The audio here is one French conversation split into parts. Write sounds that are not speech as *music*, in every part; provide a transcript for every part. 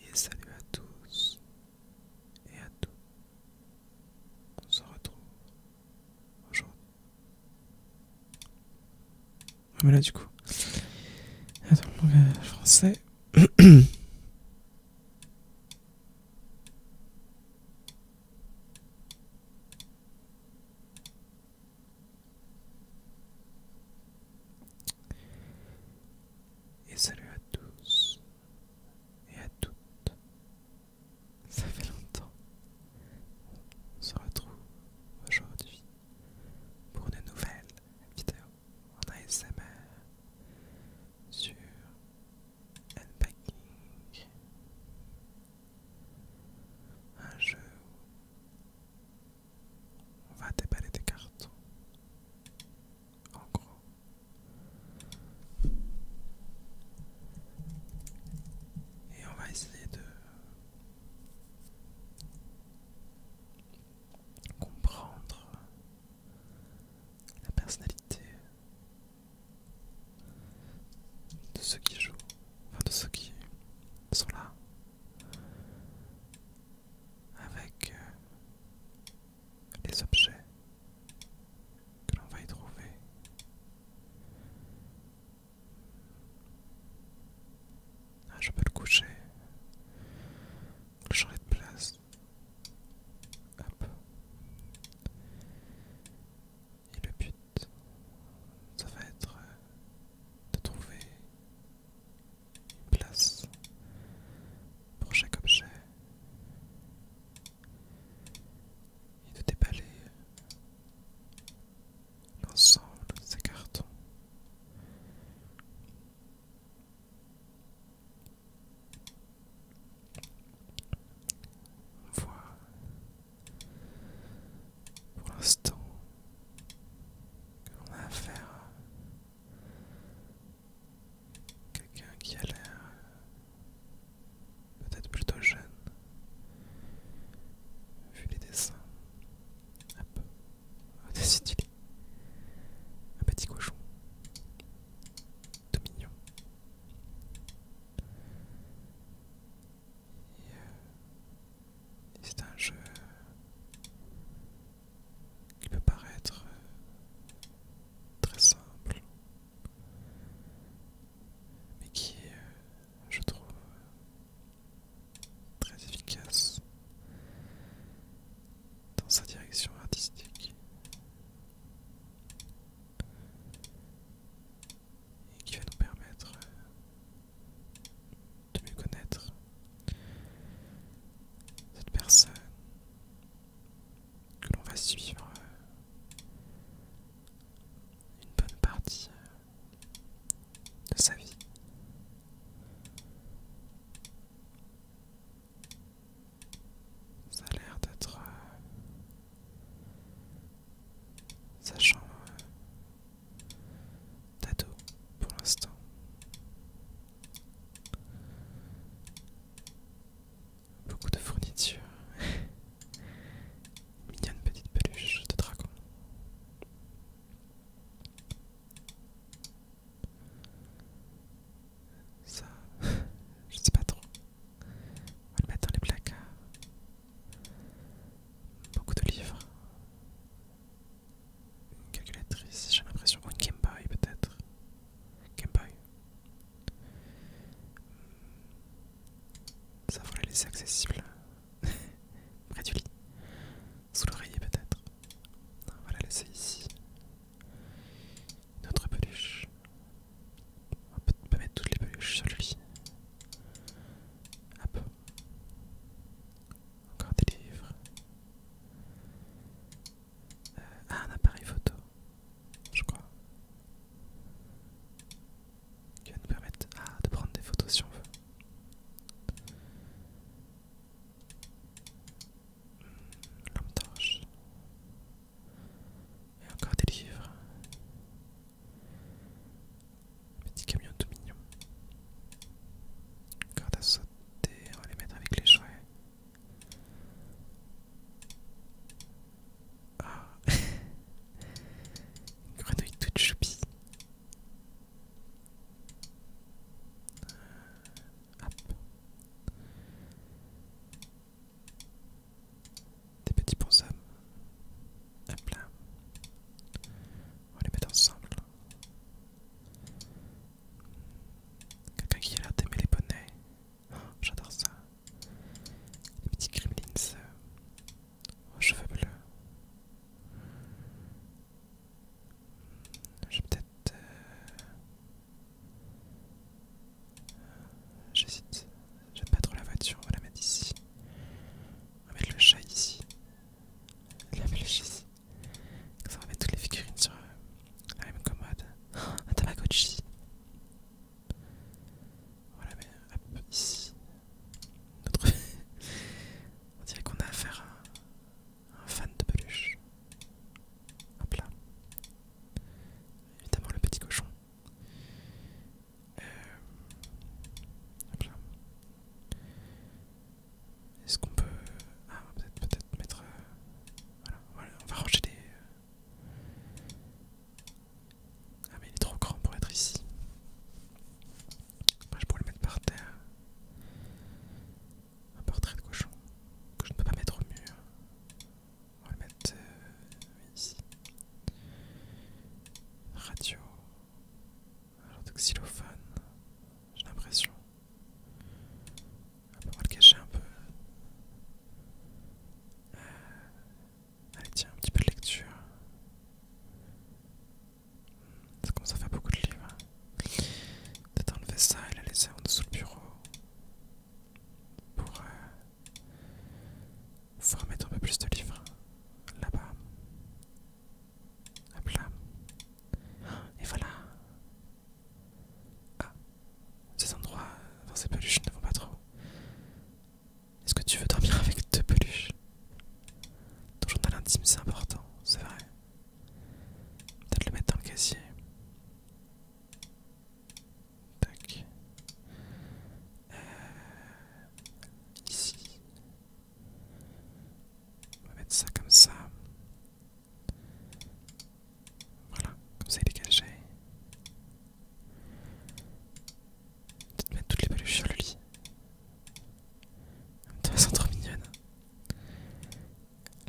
Et salut à tous et à toutes. On se retrouve aujourd'hui. Ah mais là du coup. Attends, langage français. Et salut à tous et à toutes. Ça fait longtemps. qu'on se retrouve aujourd'hui pour une nouvelle vidéo en ASMR sur Unpacking. Un jeu on va déballer des cartes. En gros. Et on va essayer de comprendre la personnalité de ceux qui jouent, enfin de ceux qui sont là avec euh, les objets que l'on va y trouver. Ah, je peux le coucher, que j'aurai de place. Et le but, ça va être euh, de trouver une place pour chaque objet et de déballer l'ensemble de ces cartons. On voit pour l'instant que l'on a affaire Quelqu'un qui a l'air euh, peut-être plutôt jeune, vu les dessins. Hop, Un petit cochon, tout mignon. Et euh, c'est un jeu qui peut paraître euh, très simple, mais qui est, euh, je trouve, euh, très efficace dans sa direction artistique et qui va nous permettre de mieux connaître cette personne que l'on va suivre euh, une bonne partie euh, de sa vie. Ça a l'air d'être euh, sachant sa chambre Tato pour l'instant. Beaucoup de fournitures. *laughs* Mignonne petite peluche de dragon. Ça, *laughs* je sais pas trop. On va le mettre dans les placards. Beaucoup de livres. Une calculatrice, j'ai l'impression. Ou une Game Boy peut-être. Game Boy. Ça faut la laisser accessible. *laughs* Près du lit. Sous l'oreiller peut-être. On va la laisser ici. Notre peluche. On peut mettre toutes les peluches sur le lit. Hop. Encore des livres ah, un appareil photo, je crois. Qui va nous permettre ah, de prendre des photos si on veut. Hmm, Lampe torche. Et encore des livres. Petit camion tout mignon. Corde à sauter, on va les mettre avec les jouets. Ah *laughs* Une grenouille toute choupie. Euh, Des petits hommes. Un plein. On va les mettre ensemble. Quelqu'un qui a l'air d'aimer les bonnets. Oh, j'adore ça. Les petits gremlins aux oh, cheveux bleus. Je vais peut-être... Euh, euh, j'hésite. J'aime pas trop la voiture, on va la mettre ici. On va mettre le chat ici. La flèche ici. Ça va mettre toutes les figurines sur euh, la même commode. *gasps* un Tamagotchi. Voilà, mais hop, ici. *laughs* On dirait qu'on a affaire à un, un fan de peluche. Hop là. Évidemment, le petit cochon. Euh... Hop là. Est-ce qu'on peut... Ah, peut-être mettre... Euh, voilà, voilà, on va ranger des... Euh, ah mais il est trop grand pour être ici. je pourrais le mettre par terre. Un portrait de cochon que je ne peux pas mettre au mur. On va le mettre euh, ici. Radio genre de xylophone, j'ai l'impression. On va le cacher un peu. Euh, allez, tiens, un petit peu de lecture. Ça commence à faire beaucoup de livres. Hein. Peut-être enlever ça et la laisser en dessous le bureau pour euh, Vous un peu plus de livres hein, là-bas. Hop là. Et voilà. Ah, ces endroits, dans ces peluches ne vont pas trop. Est-ce que tu veux dormir avec deux peluches Ton journal intime, c'est important, c'est vrai. Peut-être le mettre dans le casier. Tac. Euh, ici. On va mettre ça comme ça. Voilà, comme ça il est caché. Peut-être mettre toutes les peluches sur le lit. de toute façon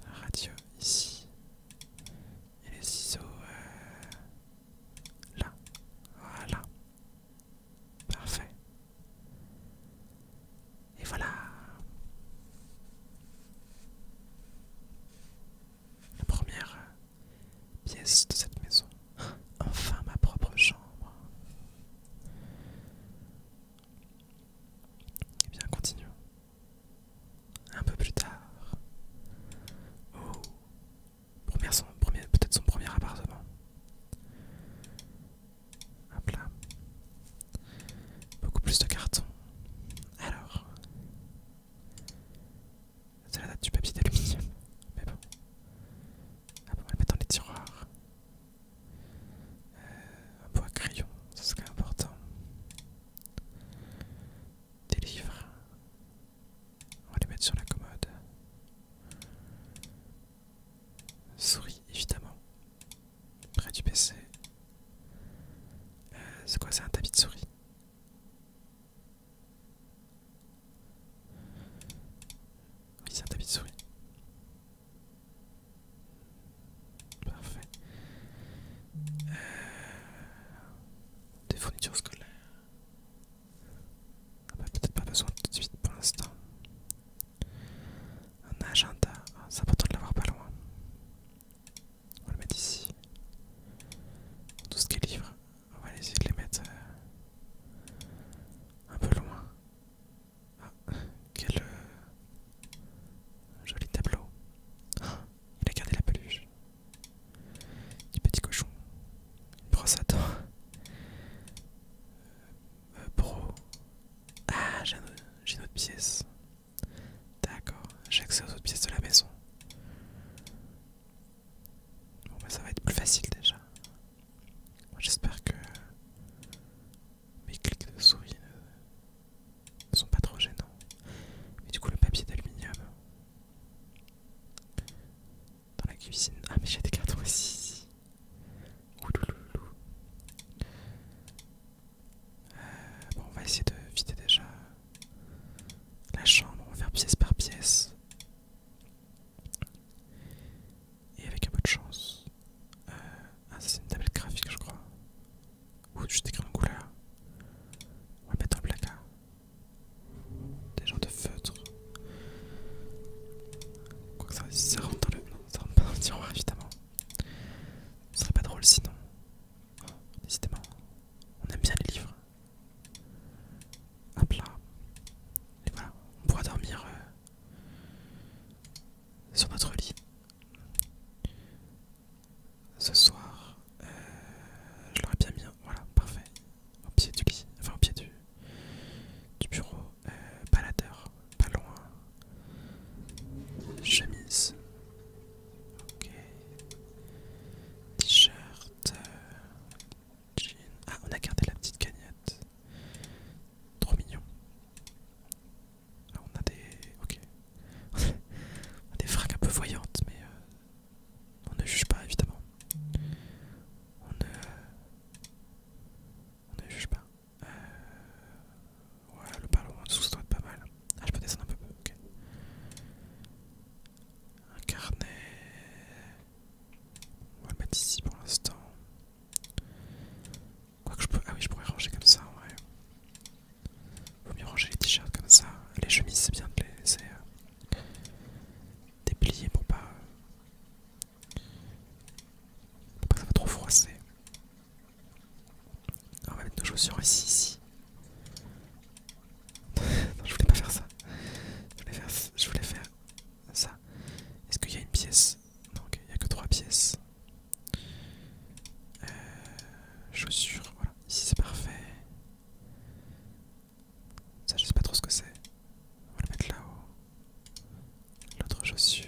La radio ici. Et les ciseaux euh, là. Voilà. Parfait. Et voilà. La première euh, pièce de cette maison. Enfin ma propre chambre. Et eh bien, continuons. Un peu plus tard. Oh. Peut-être son premier appartement. Hop là. Beaucoup plus de cartons. Alors. C'est la date du papier d'aluminium. Mais bon. Ah, On va le mettre dans les tiroirs. Euh, un bois crayon, ce serait important. Des livres. On va les mettre sur la commode. Souris, évidemment. Près du PC. Euh, c'est quoi, c'est un tapis de souris Oui, c'est un tapis de souris. Parfait. Euh, des fournitures scolaires. On ah n'a bah, peut-être pas besoin tout de suite pour l'instant. Un agenda, ah, c'est important de l'avoir pas loin. On va le mettre ici. Tout ce qui est livre, on va essayer de les mettre euh, un peu loin. Ah, quel euh, joli tableau. *gasps* il a gardé la peluche. Du petit cochon. Une brosse à dents. Euh, pro. Ah, j'ai une autre pièce. D'accord, j'ai accès aux autres pièces de la maison. Bon, bah ça va être plus facile déjà. J'espère que mes clics de souris ne sont pas trop gênants. Mais du coup, le papier d'aluminium dans la cuisine. Ah, mais j'ai des cartons aussi. Euh, bon, on va essayer de vider déjà la chambre, on va faire pièce par pièce. Et avec un peu de chance. Euh, ah, ça c'est une tablette graphique, je crois. Ou tu décris en couleur. On va mettre un placard. Des genres de feutres. Quoi ça, rentre dans le. ça rentre pas dans le tiroir évidemment. Ce serait pas drôle sinon. Oh, décidément, on aime bien les livres. Hop là. Et voilà, on pourra dormir euh, sur notre lit. Ce soir, euh, je l'aurais bien mis. Voilà, parfait. Au pied du lit. Enfin, au pied du, du bureau, euh, baladeur, pas loin, chemise, ok, t-shirt, euh, jean, ah on a gardé la petite cagnotte, trop mignon, ah, on a des, ok, *laughs* on a des fracs un peu voyantes mais euh, on ne juge pas évidemment, on a... On ne juge pas. Euh... Ouais, le ballon en dessous, ça doit être pas mal. Ah, je peux descendre un peu, ok. Un carnet. On va le mettre ici pour l'instant. Quoi que je peux. Ah oui, je pourrais ranger comme ça ouais. Il Vaut mieux ranger les t-shirts comme ça. Les chemises, c'est bien de les euh, déplier pour pas ça va trop froisser. On va mettre nos chaussures ici, *laughs* non, je voulais pas faire ça. Je voulais faire, ça. Est-ce qu'il y a une pièce Non, il n'y a que trois pièces. Euh, chaussures, voilà. Ici, c'est parfait. Ça, je sais pas trop ce que c'est. On va le mettre là-haut. L'autre chaussure.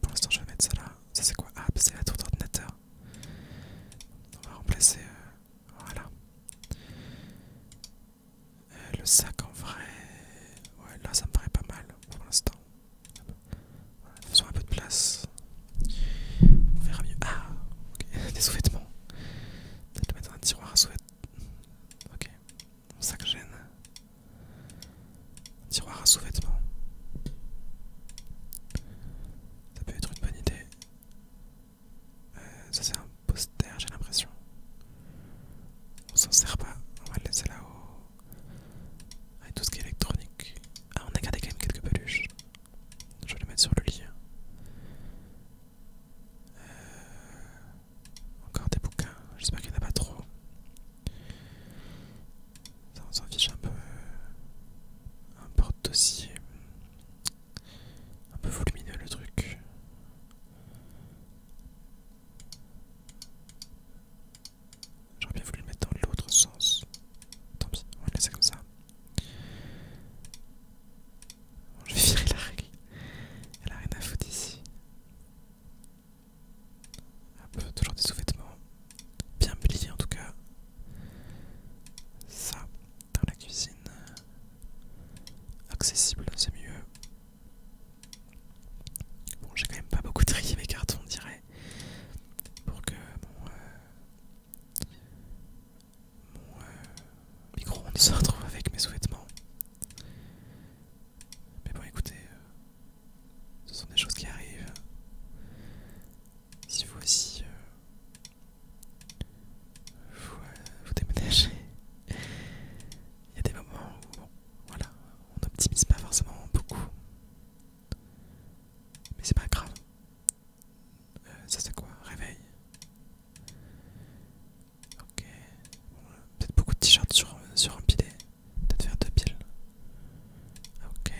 Pour l'instant, je vais mettre ça là. Ça, c'est quoi Ah, bah, c'est la tour d'ordinateur. On va remplacer. Euh, voilà. Euh, le sac en vrai. Ouais, là, ça me paraît pas mal pour l'instant. faisons un peu de place. On verra mieux. Ah, Ok. *laughs* des sous-vêtements. Peut-être mettre dans un tiroir à sous-vêtements. Ok. Mon sac gêne. tiroir à sous-vêtements. Ça peut être une bonne idée. Euh, ça c'est un poster, j'ai l'impression. On s'en sert pas. On va le laisser là-haut. Avec tout ce qui est électronique. Ah, on a gardé quand même quelques peluches. Je vais les mettre sur le lit. Euh, encore des bouquins, j'espère qu'il n'y en a pas trop. Ça on s'en fiche un peu. Un porte-dossier. Un peu volumineux le truc. J'aurais bien voulu le mettre dans l'autre sens. Tant pis, on va le laisser comme ça je vais virer la règle. Elle a rien à foutre ici. peu toujours des sous-vêtements. Bien pliés en tout cas. Ça, dans la cuisine. Accessible, c'est mieux. Bon, j'ai quand même pas beaucoup trié mes cartons, on dirait. Pour que, bon, euh, mon micro on se retrouve avec mes sous-vêtements. Mais bon, écoutez, euh, ce sont des choses qui arrivent. Si vous aussi euh, euh, vous, déménagez, il y a des moments où, voilà, on n'optimise pas forcément beaucoup. Mais c'est pas grave, euh, ça c'est quoi Réveil. Ok. Peut-être beaucoup de t-shirts sur, euh, sur un Peut-être faire deux piles. Ok. Euh,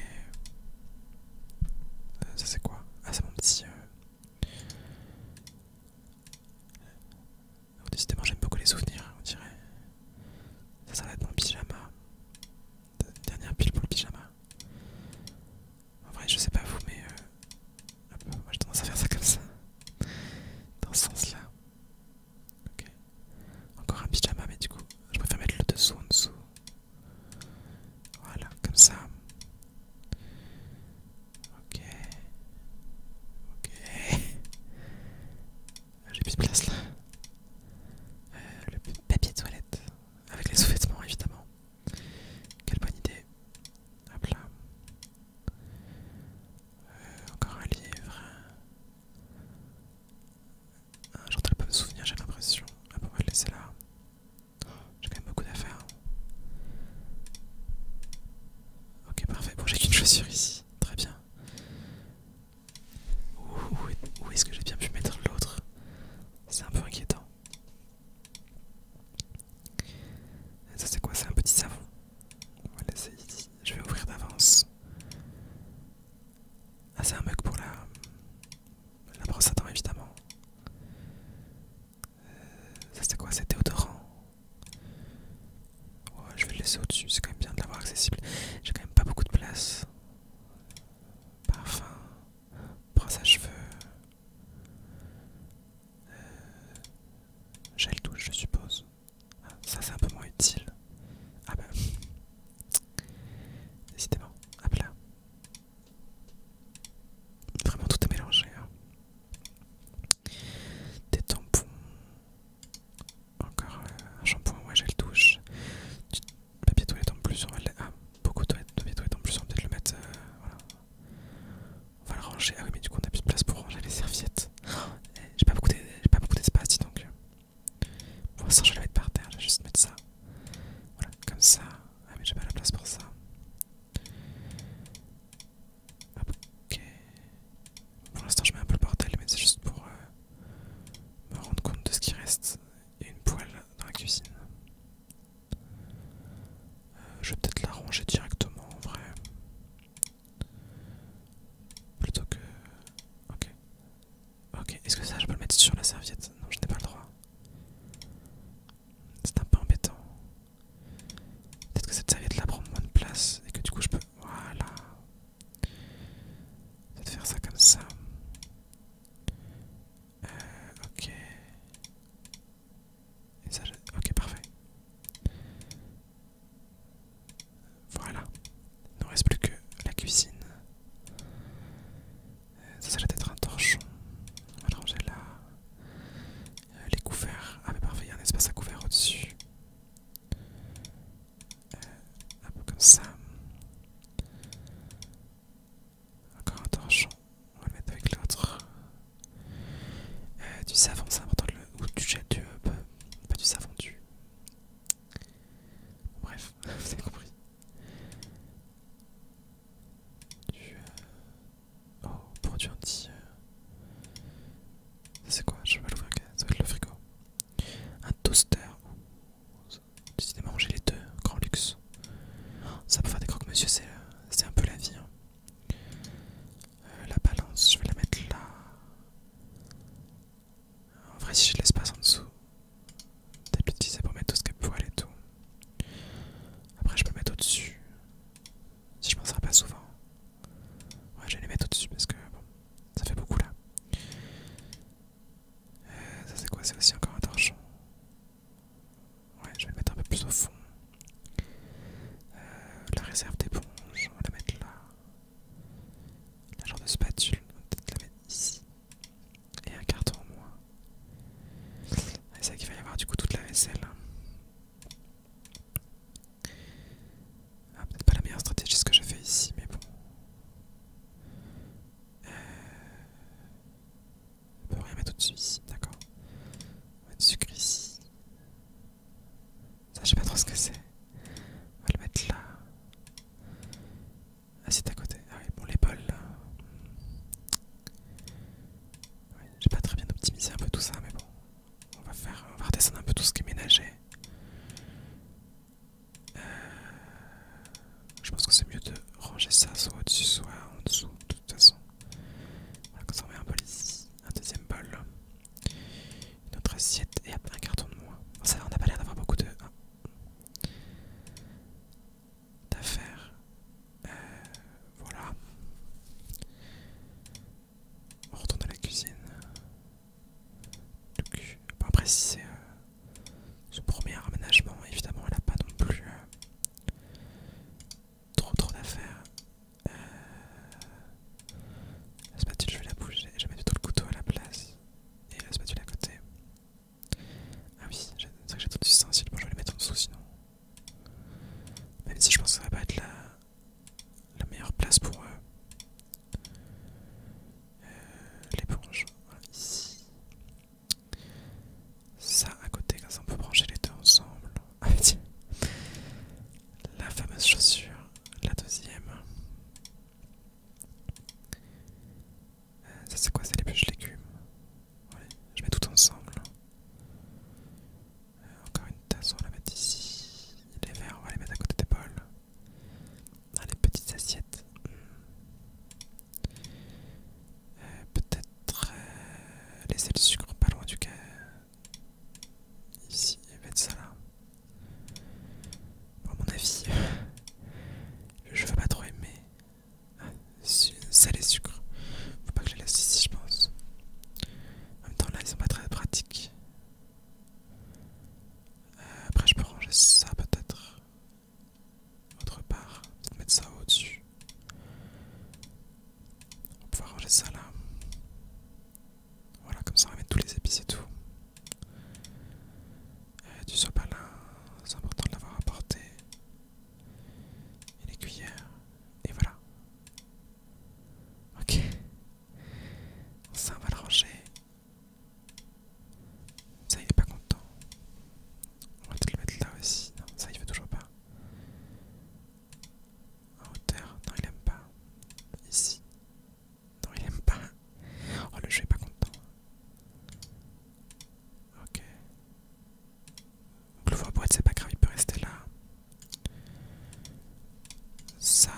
ça c'est quoi Ah c'est mon petit... Euh... décidément j'aime beaucoup les souvenirs, on dirait. Ça, ça va être mon pyjama. Dernière pile pour le pyjama. En vrai, je sais pas vous, mais euh, moi j'ai tendance à faire ça comme ça, dans ce sens-là. Ok. Encore un pyjama, mais du coup, je préfère mettre le dessous en dessous. Voilà, comme ça. Ok. Ok. Ah, j'ai plus de place là. Euh, le papier de toilette. Avec les sous-vêtements évidemment. Quelle bonne idée. Hop là. Euh, encore un livre. Ah, pas de souvenir, j'ai l'impression. Ah, on va le laisser là. j'ai quand même beaucoup d'affaires. Ok, parfait. Bon, j'ai qu'une chaussure ici. Très bien. où est-ce que j'ai bien pu mettre l'autre C'est un peu inquiétant. Ça c'est quoi C'est un petit savon. Je vais ouvrir d'avance. Ah c'est un mug pour la, la brosse à dents évidemment. Euh, ça c'est quoi C'est déodorant. je vais le laisser au-dessus, c'est quand même bien de l'avoir accessible. J'ai quand même pas beaucoup de place. Parfum, brosse à cheveux, euh, gel douche je suppose. Ah, ça c'est un peu moins utile. Ah bah... Décidément. Hop là. Vraiment tout est mélangé. Hein. Des tampons. Encore euh, un shampoing, ouais, gel douche. Du papier toilette en plus, on Ah, beaucoup de papier toilette en plus, on va peut-être le mettre... Euh, on va le ranger. Ah oui, mais du coup, on a plus de place pour ranger les serviettes. *gasps* Eh, j'ai pas beaucoup d'espace, dis donc. Pour l'instant, je vais le mettre par terre. Je vais juste mettre ça. Voilà, comme ça. Ah, mais j'ai pas la place pour ça. Ok. Pour l'instant, je mets un peu le bordel, mais c'est juste pour euh, me rendre compte de ce qui reste. Et une poêle dans la cuisine. Euh, je vais peut-être la ranger directement en vrai. Plutôt que... Ok. Ok, est-ce que ça je peux le mettre sur la serviette Non, je n'ai pas le droit. C'est un peu embêtant. Peut-être que cette serviette-là prend moins de place et que du coup je peux... Voilà. Peut-être faire ça comme ça. Euh, ok. ça, Ok, parfait. Voilà. Il ne reste plus que la cuisine. Euh, ça, ça doit être un torchon. On va ranger là. Euh, les couverts. Ah, mais parfait, il y a un espace à couvert au-dessus. un peu comme ça. Encore un torchon on va le mettre avec l'autre. Euh, du savon, c'est important, ou du gel, du, euh, pas, du savon, du... Bref, vous *laughs* avez compris. Du... Euh, oh, produit anti... C'est quoi Je vais l'ouvrir, ça va être le frigo. Un toaster. Décidément, manger les deux, grand luxe. Ça peut faire des crocs, monsieur c'est un peu la vie. Hein. Euh, la balance, je vais la mettre là. En vrai, si j'ai de l'espace en dessous, peut-être l'utiliser pour mettre tout ce que poil et tout. Après, je peux mettre au-dessus. Si je penserai pas souvent. Ouais, je vais les mettre au-dessus parce que ça fait beaucoup là. Euh, ça, c'est quoi C'est aussi encore un torchon. Ouais, je vais mettre un peu plus au fond. Euh, la réserve des d'éponge, on va la mettre là. La genre de spatule, on va peut-être la mettre ici. Et un carton en moins. Ah, c'est ça qu'il va y avoir du coup toute la vaisselle. Hein. Ah, peut-être pas la meilleure stratégie ce que je fais ici, mais bon. Euh, on peut rien mettre au-dessus ici, d'accord. On va mettre sucre ici. Ça, je sais pas trop ce que c'est. On va le mettre là. Ah, c'est à côté. Ah oui, bon, l'épaule là. j'ai pas très bien optimisé un peu tout ça, mais bon. On va faire, on va redescendre un peu tout ce qui est ménager. Euh, je pense que c'est mieux de ranger ça soit au-dessus, soit en dessous, de toute façon. On comme ça met un bol ici, un deuxième bol, une autre assiette et un carton de moins. ça on n'a pas l'air d'avoir beaucoup de. Hein. d'affaires. Euh, voilà. On retourne à la cuisine. Donc, bon après c'est euh, premier aménagement, évidemment elle n'a pas non plus euh, Trop trop d'affaires. Euh... La spatule, je vais la bouger. Je vais mettre tout le couteau à la place. Et la spatule à côté. Ah oui, c'est vrai que j'ai tout du stencil. Bon, je vais le mettre en dessous sinon. Même si je pense que ça ne va pas être la, meilleure place pour eux. Euh, l'éponge. Voilà, ici. Ça à côté, comme ça on peut brancher les deux ensemble. Ah, la fameuse chaussure, la deuxième. Euh, ça c'est quoi C'est les bûches légumes. je mets tout ensemble. Euh, encore une tasse, on va la mettre ici. Les verres, on va les mettre à côté des bols. les petites assiettes. Hmm. Euh, peut-être euh, laisser le sucre pas loin du cas. Ici, et mettre ça là. mon avis, *laughs* je veux pas trop aimer. ça les et sucre. Faut pas que je les laisse ici, je pense. En même temps, là, ils sont pas très pratiques. Euh, après, je peux ranger ça peut-être. Autre part, on va mettre ça au-dessus. On va pouvoir ranger ça là. Voilà, comme ça on va mettre tous les épices et tout. du euh, sopalin, c'est important de l'avoir apporté. Et les cuillères. Et voilà. Ok. Ça on va le ranger. Ça il est pas content. On va peut-être le mettre là aussi. Non, ça il veut toujours pas. En hauteur, non il aime pas. Ici. Non il aime pas. Oh le jeu est pas content. Ok. Donc le voir boîte c'est pas grave, il peut rester là. Ça...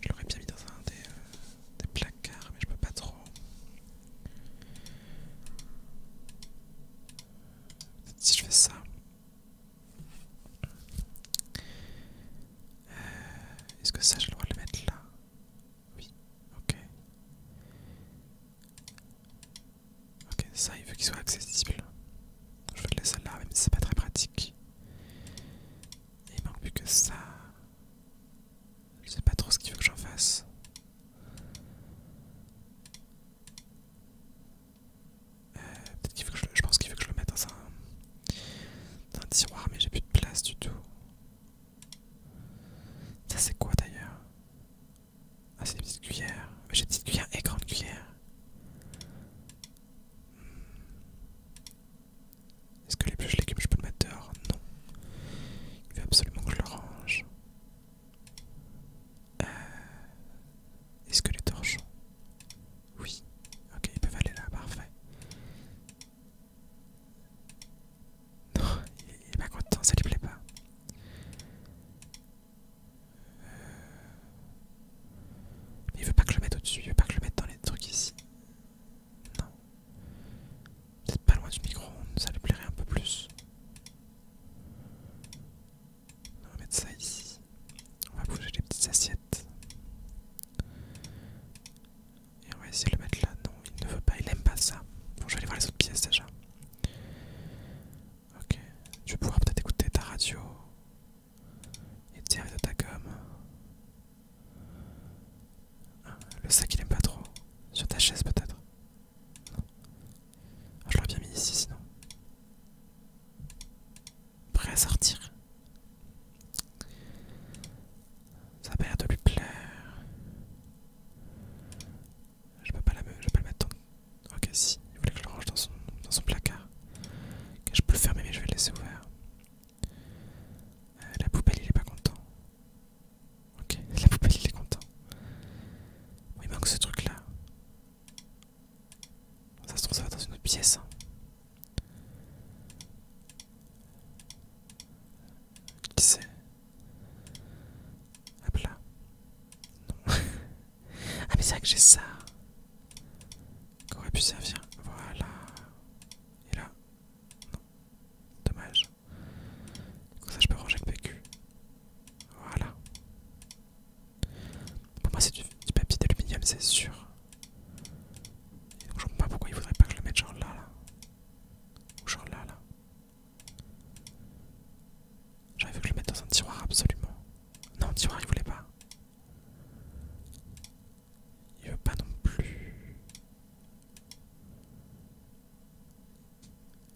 Je l'aurais bien mis dans un des... Euh, des placards, mais je peux pas trop. si je fais ça. Euh, est-ce que ça, je dois le mettre là Oui, ok. Ok, ça, il veut qu'il soit accessible. Je vais le laisser là, même si c'est pas très pratique. il manque plus que ça. Je sais pas trop ce qu'il veut que j'en fasse. Euh, peut-être qu'il que je, je pense qu'il veut que je le mette dans un, tiroir, mais j'ai plus de place du tout. Ça c'est quoi d'ailleurs Ah c'est des petites cuillères. j'ai des petites cuillères et grandes cuillères. Hmm. Est-ce que les plus légumes je peux le mettre dehors Non. Il veut absolument que je le range. Euh, Est-ce que les torchons Oui. Ok, ils peuvent aller là, parfait. Non, il est pas content, ça lui plaît pas. Mais euh, Il veut pas que je le mette au-dessus, il veut pas que je le mette dans les trucs ici. Non. Peut-être pas loin du micro ça lui plairait un peu plus. On va mettre ça ici. On va bouger les petites assiettes. Et on va essayer de le mettre là. Non, il ne veut pas, il aime pas ça. Bon, je vais aller voir les autres pièces déjà. Ok, tu vais pouvoir peut-être écouter ta radio et tirer de ta gomme le sac il aime pas trop. Sur ta chaise peut-être. Ah, je l'aurais bien mis ici sinon. Prêt à sortir. Ça a pas l'air de lui plaire. Je peux pas, la, peux pas le mettre dans... Ok si, il voulait que je le range dans son, placard. je peux le fermer mais je vais le laisser ouvert. Euh, la poubelle il est pas content. Ok, la poubelle il est content. Oui, il ben, manque ce truc là. Ça se trouve ça va dans une autre pièce. Hein. Qui c'est Hop là. Non. *laughs* ah mais c'est vrai que j'ai ça. Qu'aurait pu servir. Voilà. Et là. Non. Dommage. Comme ça, je peux ranger le PQ. Voilà. Pour moi, c'est du, papier d'aluminium, c'est sûr. je comprends pas pourquoi il voudrait pas que je le mette genre là, là. Ou genre là, là. J'aurais vu que je le mette dans un tiroir, absolument. Non, tiroir, il voulait pas. Il veut pas non plus.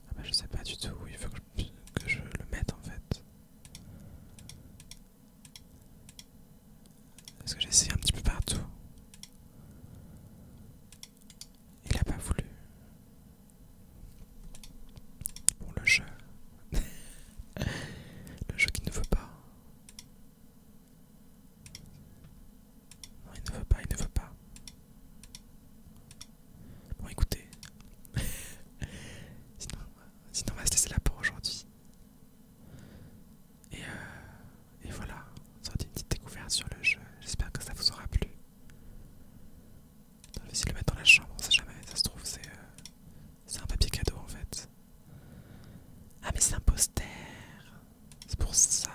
Ah bah je sais pas du tout où il faut que je, le mette en fait. Est-ce que j'ai un petit peu partout. Il a pas voulu. Bon le jeu. *laughs* le jeu qui ne veut pas. Non, il ne veut pas, il ne veut pas. Bon, écoutez. *laughs* Euh, sinon, on va se laisser là pour aujourd'hui. Et, euh, et voilà, été une petite découverte sur le jeu. J'espère que ça vous aura plu. Je essayer de le mettre dans la chambre, on sait jamais, ça se trouve, c'est euh, un papier cadeau en fait. Ah, mais c'est un poster! C'est pour ça,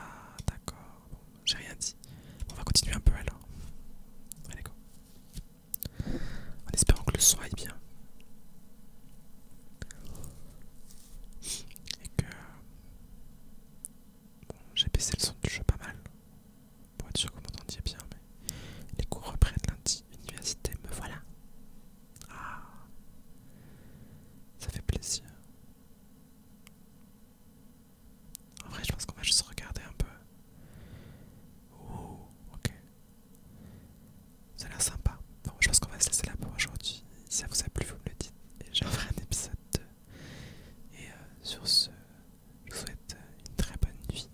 d'accord. Bon, j'ai rien dit. on va continuer un peu alors. Allez, go. En espérant que le son aille bien. Et que. Bon, j'ai baissé le son du jeu pas mal. Pour être sûr que vous m'entendiez bien, mais. Les cours reprennent lundi. Université, me voilà. Ah. Ça fait plaisir. En vrai, je pense qu'on va juste regarder un peu. Oh, ok. Ça a l'air sympa. Bon, je pense qu'on va se laisser là pour aujourd'hui. Si ça vous a plu, vous me le dites. j'en ferai un épisode 2. Et euh, sur ce, je vous souhaite euh, une très bonne nuit.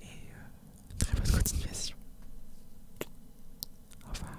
Et euh, une très bonne continuation. Au revoir.